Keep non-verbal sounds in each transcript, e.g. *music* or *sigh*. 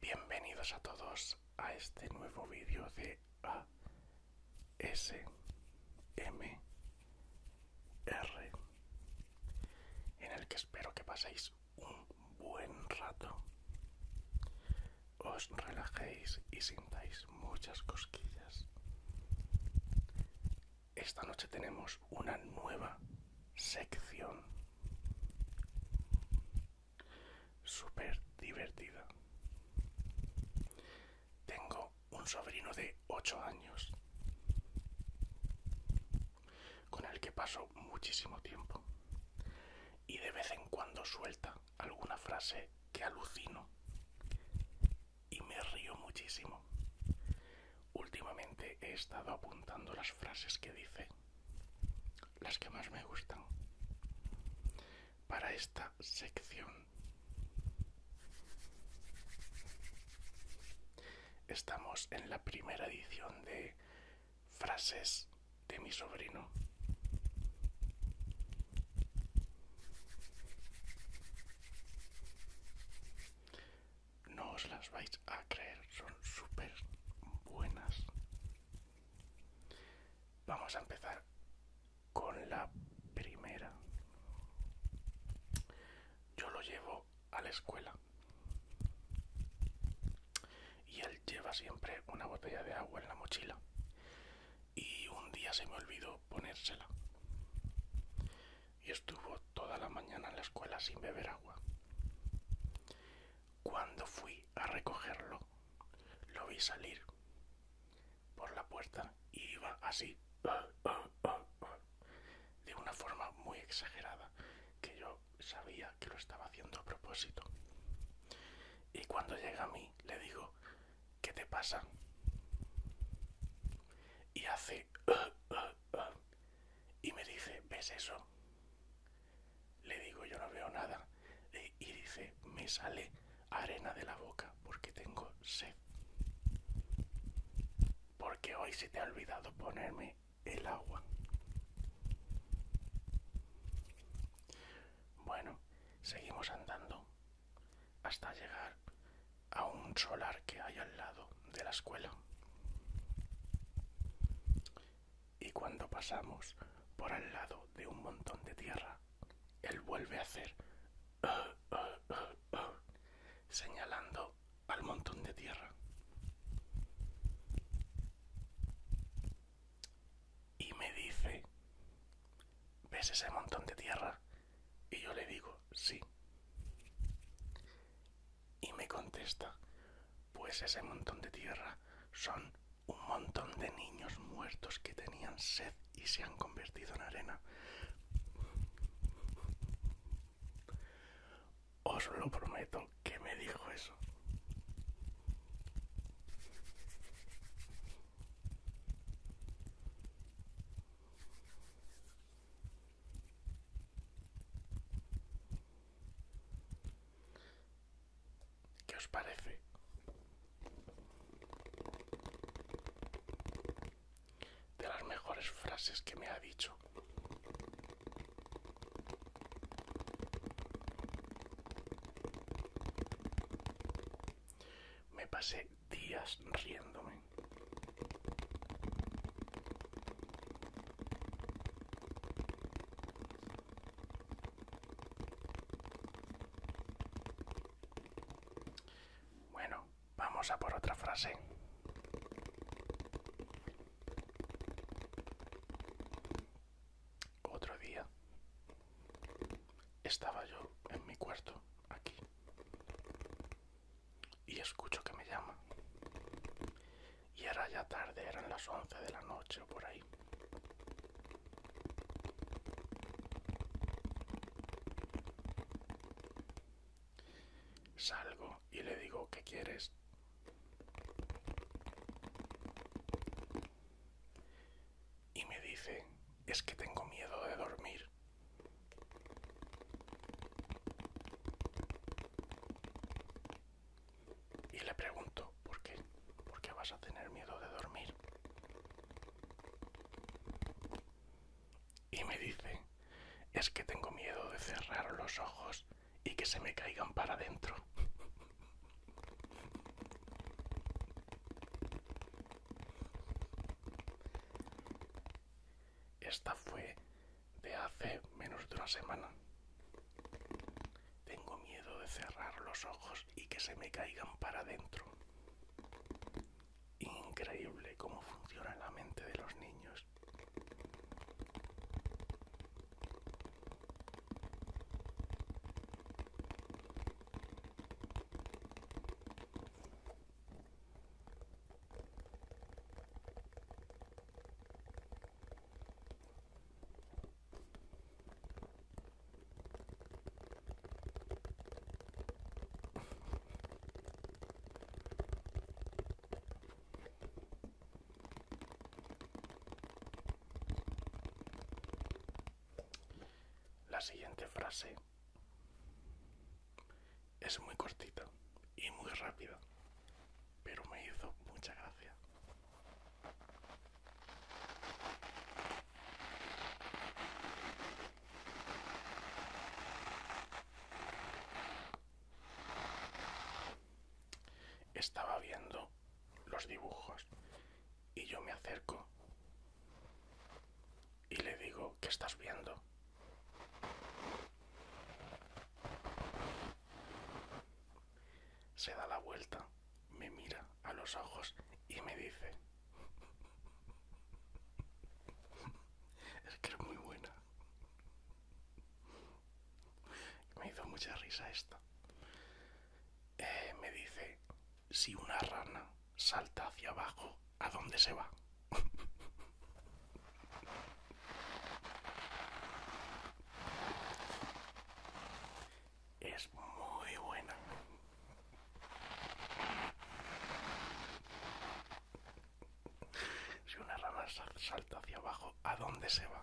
Bienvenidos a todos a este nuevo vídeo de ASMR en el que espero que paséis un buen rato, os relajéis y sintáis muchas cosquillas esta noche tenemos una nueva sección super divertida. Tengo un sobrino de 8 años con el que paso muchísimo tiempo y de vez en cuando suelta alguna frase que alucino y me río muchísimo. Últimamente he estado apuntando las frases que dice, las que más me gustan, para esta sección. Estamos en la primera edición de frases de mi sobrino no os las vais a creer, son súper buenas. Vamos a empezar con la primera. Yo lo llevo a la escuela y él lleva siempre una botella de agua en la mochila y un día se me olvidó ponérsela y estuvo toda la mañana en la escuela sin beber agua. Cuando fui a recogerlo, lo vi salir por la puerta y iba así, ah, ah, ah, de una forma muy exagerada, que yo sabía que lo estaba haciendo a propósito. Y cuando llega a mí, le digo, ¿qué te pasa? Y hace y me dice, ¿ves eso? Le digo, yo no veo nada. y dice, me sale arena de la boca porque tengo sed. Porque hoy se te ha olvidado ponerme el agua. Bueno, seguimos andando hasta llegar a un solar que hay al lado de la escuela. Y cuando pasamos por al lado de un montón de tierra, él vuelve a hacer ah, ah, ah, señalando al montón de tierra. Y me dice, ¿ves ese montón de tierra? Y yo le digo, sí. Y me contesta, pues ese montón de tierra son un montón de niños muertos que tenían sed y se han convertido en arena. Os lo prometo que me dijo eso. ¿Qué os parece? De las mejores frases que me ha dicho. Me pasé días riéndome. Bueno, vamos a por otra frase. Otro día estaba yo en mi cuarto, aquí, y escucho que me llama. Y era ya tarde, eran las once de la noche o por ahí. Salgo y le digo, ¿qué quieres? Y me dice, es que tengo miedo de dormir. Y le pregunto, ¿por qué? ¿Por qué vas a tener miedo de dormir? Y me dice, es que tengo miedo de cerrar los ojos y que se me caigan para adentro. Esta fue de hace menos de una semana. Tengo miedo de cerrar los ojos y que se me caigan para adentro. Increíble cómo funciona la mente de los niños. La siguiente frase es muy cortita y muy rápida, pero me hizo mucha gracia. Estaba viendo los dibujos y yo me acerco y le digo, ¿qué estás viendo? Se da la vuelta, me mira a los ojos y me dice... es que es muy buena. Me hizo mucha risa esta. Eh, me dice, si una rana salta hacia abajo, ¿a dónde se va? Es muy buena. Si una rama salta hacia abajo, ¿a dónde se va?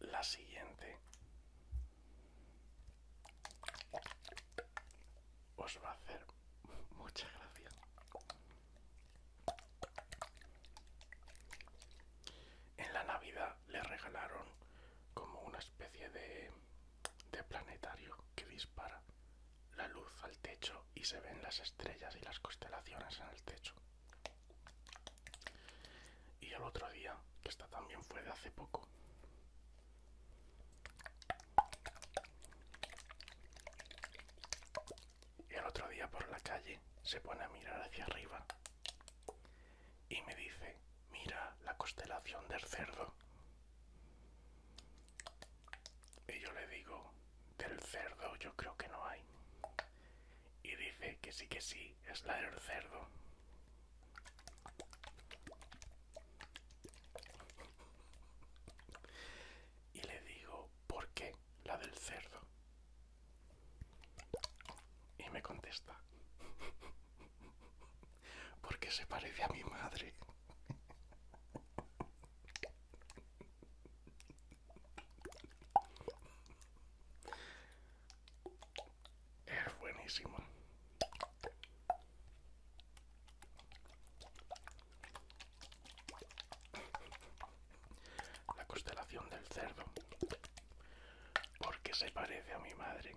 La siguiente os va a hacer mucha gracia. En la Navidad le regalaron como una especie de, de planetario que dispara la luz al techo y se ven las estrellas y las constelaciones en el techo. Y el otro día, que esta también fue de hace poco, y el otro día por la calle se pone a mirar hacia arriba y me dice, mira la constelación del cerdo. Y yo le digo, del cerdo yo creo que no hay. Y dice que sí que sí, es la del cerdo. Y le digo, ¿por qué la del cerdo? Y me contesta, porque se parece a mi madre. Es buenísimo. La constelación del cerdo. Porque se parece a mi madre.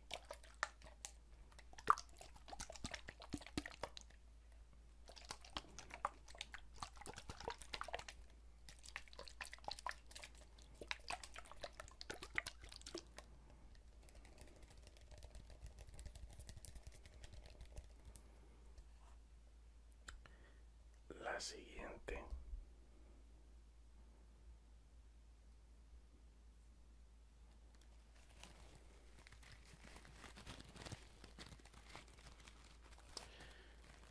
La siguiente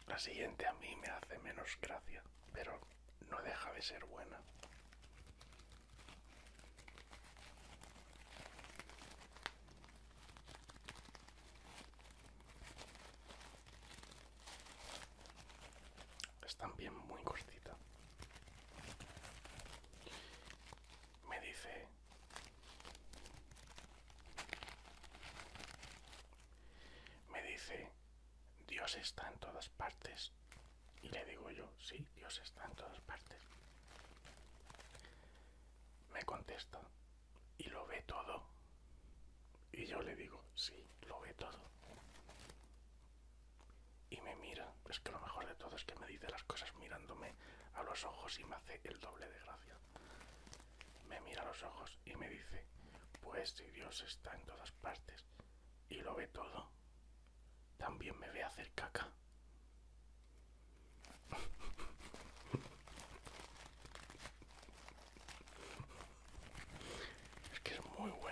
la siguiente a mí me hace menos gracia, pero no deja de ser buena. Es bien muy cortita. Me dice Me dice Dios está en todas partes y le digo yo, sí, Dios está en todas partes. Me contesta y lo ve todo. Y yo le digo, sí, lo ve todo y me mira. Es que lo mejor de todo es que me dice las cosas mirándome a los ojos y me hace el doble de gracia. Me mira a los ojos y me dice, pues si Dios está en todas partes y lo ve todo, también me ve hacer caca. *laughs* Es que es muy bueno.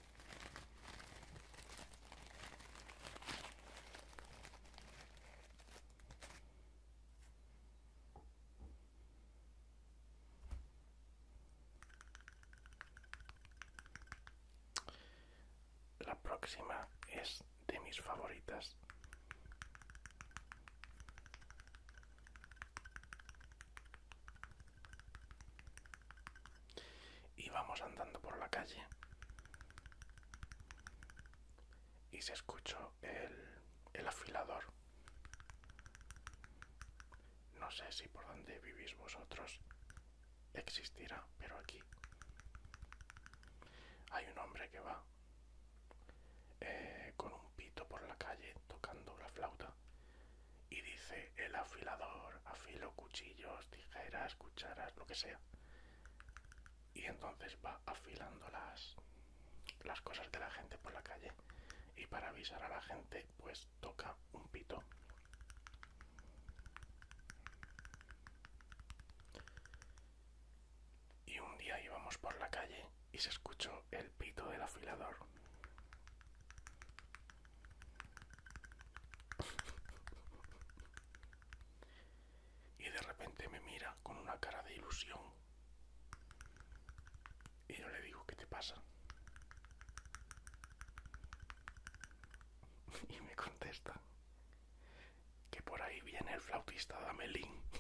La próxima es de mis favoritas. Y vamos andando por la calle y se escuchó el, afilador. No sé si por donde vivís vosotros existirá, pero aquí hay un hombre que va eh, con un pito por la calle tocando la flauta y dice el afilador, afilo cuchillos, tijeras, cucharas, lo que sea. Y entonces va afilando las, las cosas de la gente por la calle. Y para avisar a la gente, pues toca un pito. Y un día íbamos por la calle y se escuchó el pito del afilador. *laughs* y de repente me mira con una cara de ilusión y yo le digo ¿qué te pasa? *laughs* y me contesta que por ahí viene el flautista Damelín. *laughs*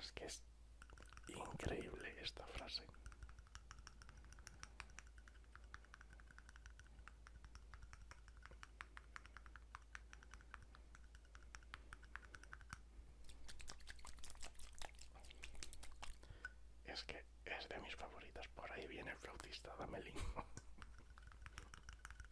Es que es increíble esta frase. Es que es de mis favoritas. Por ahí viene el flautista Damelin. *laughs*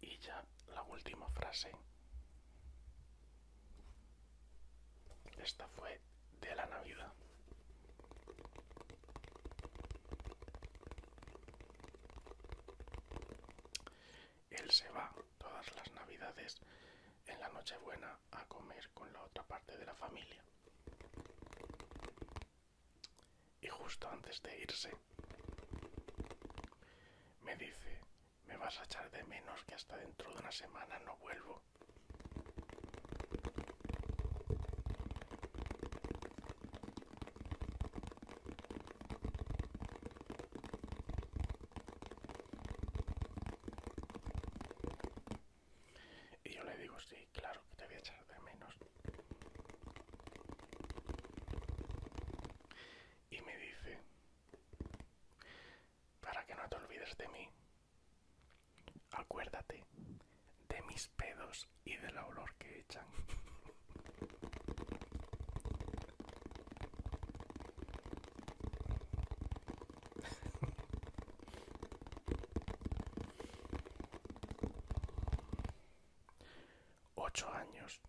Y ya la última frase. Esta fue de la Navidad. Él se va todas las Navidades en la Nochebuena a comer con la otra parte de la familia. Y justo antes de irse, me dice, me vas a echar de menos que hasta dentro de una semana no vuelvo. Y yo le digo, sí, claro que te voy a echar de menos. Y me dice, para que no te olvides de mí, acuérdate de mis pedos y del olor que echan. Ocho años.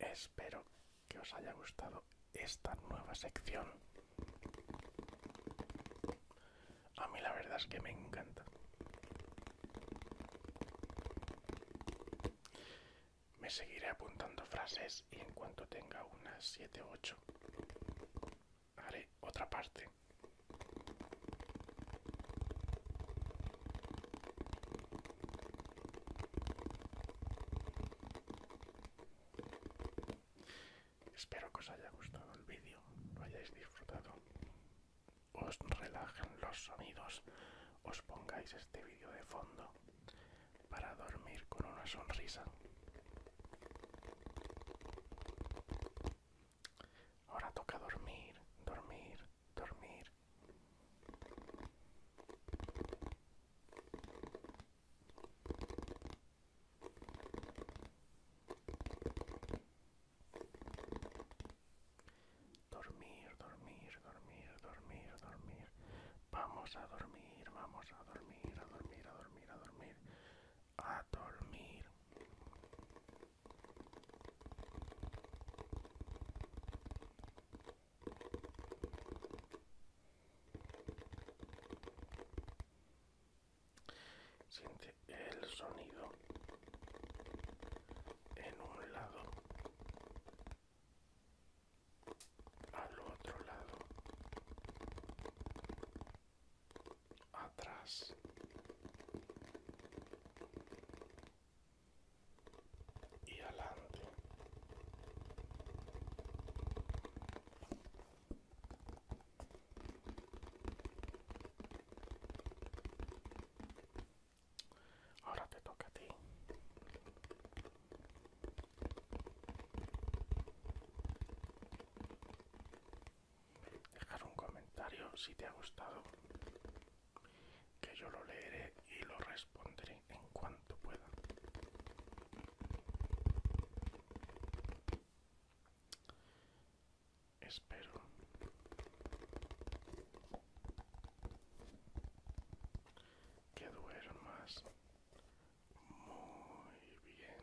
Espero que os haya gustado esta nueva sección. A mí la verdad es que me encanta. Me seguiré apuntando frases y en cuanto tenga unas siete o 8 haré otra parte. Espero que os haya gustado el vídeo, lo hayáis disfrutado, os relajen los sonidos, os pongáis este vídeo de fondo para dormir con una sonrisa. Ahora toca dormir, dormir, dormir. Dormir, dormir, dormir, dormir, dormir. Vamos a dormir, vamos a dormir, a dormir, a dormir, a dormir. A dormir. Siente el sonido en un lado, al otro lado, atrás. Y adelante. Ahora te toca a ti. Dejar un comentario si te ha gustado, que yo lo leeré y lo responderé en cuanto pueda espero que duermas muy bien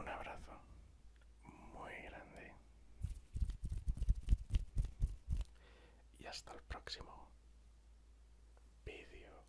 Un abrazo muy grande y hasta el próximo vídeo.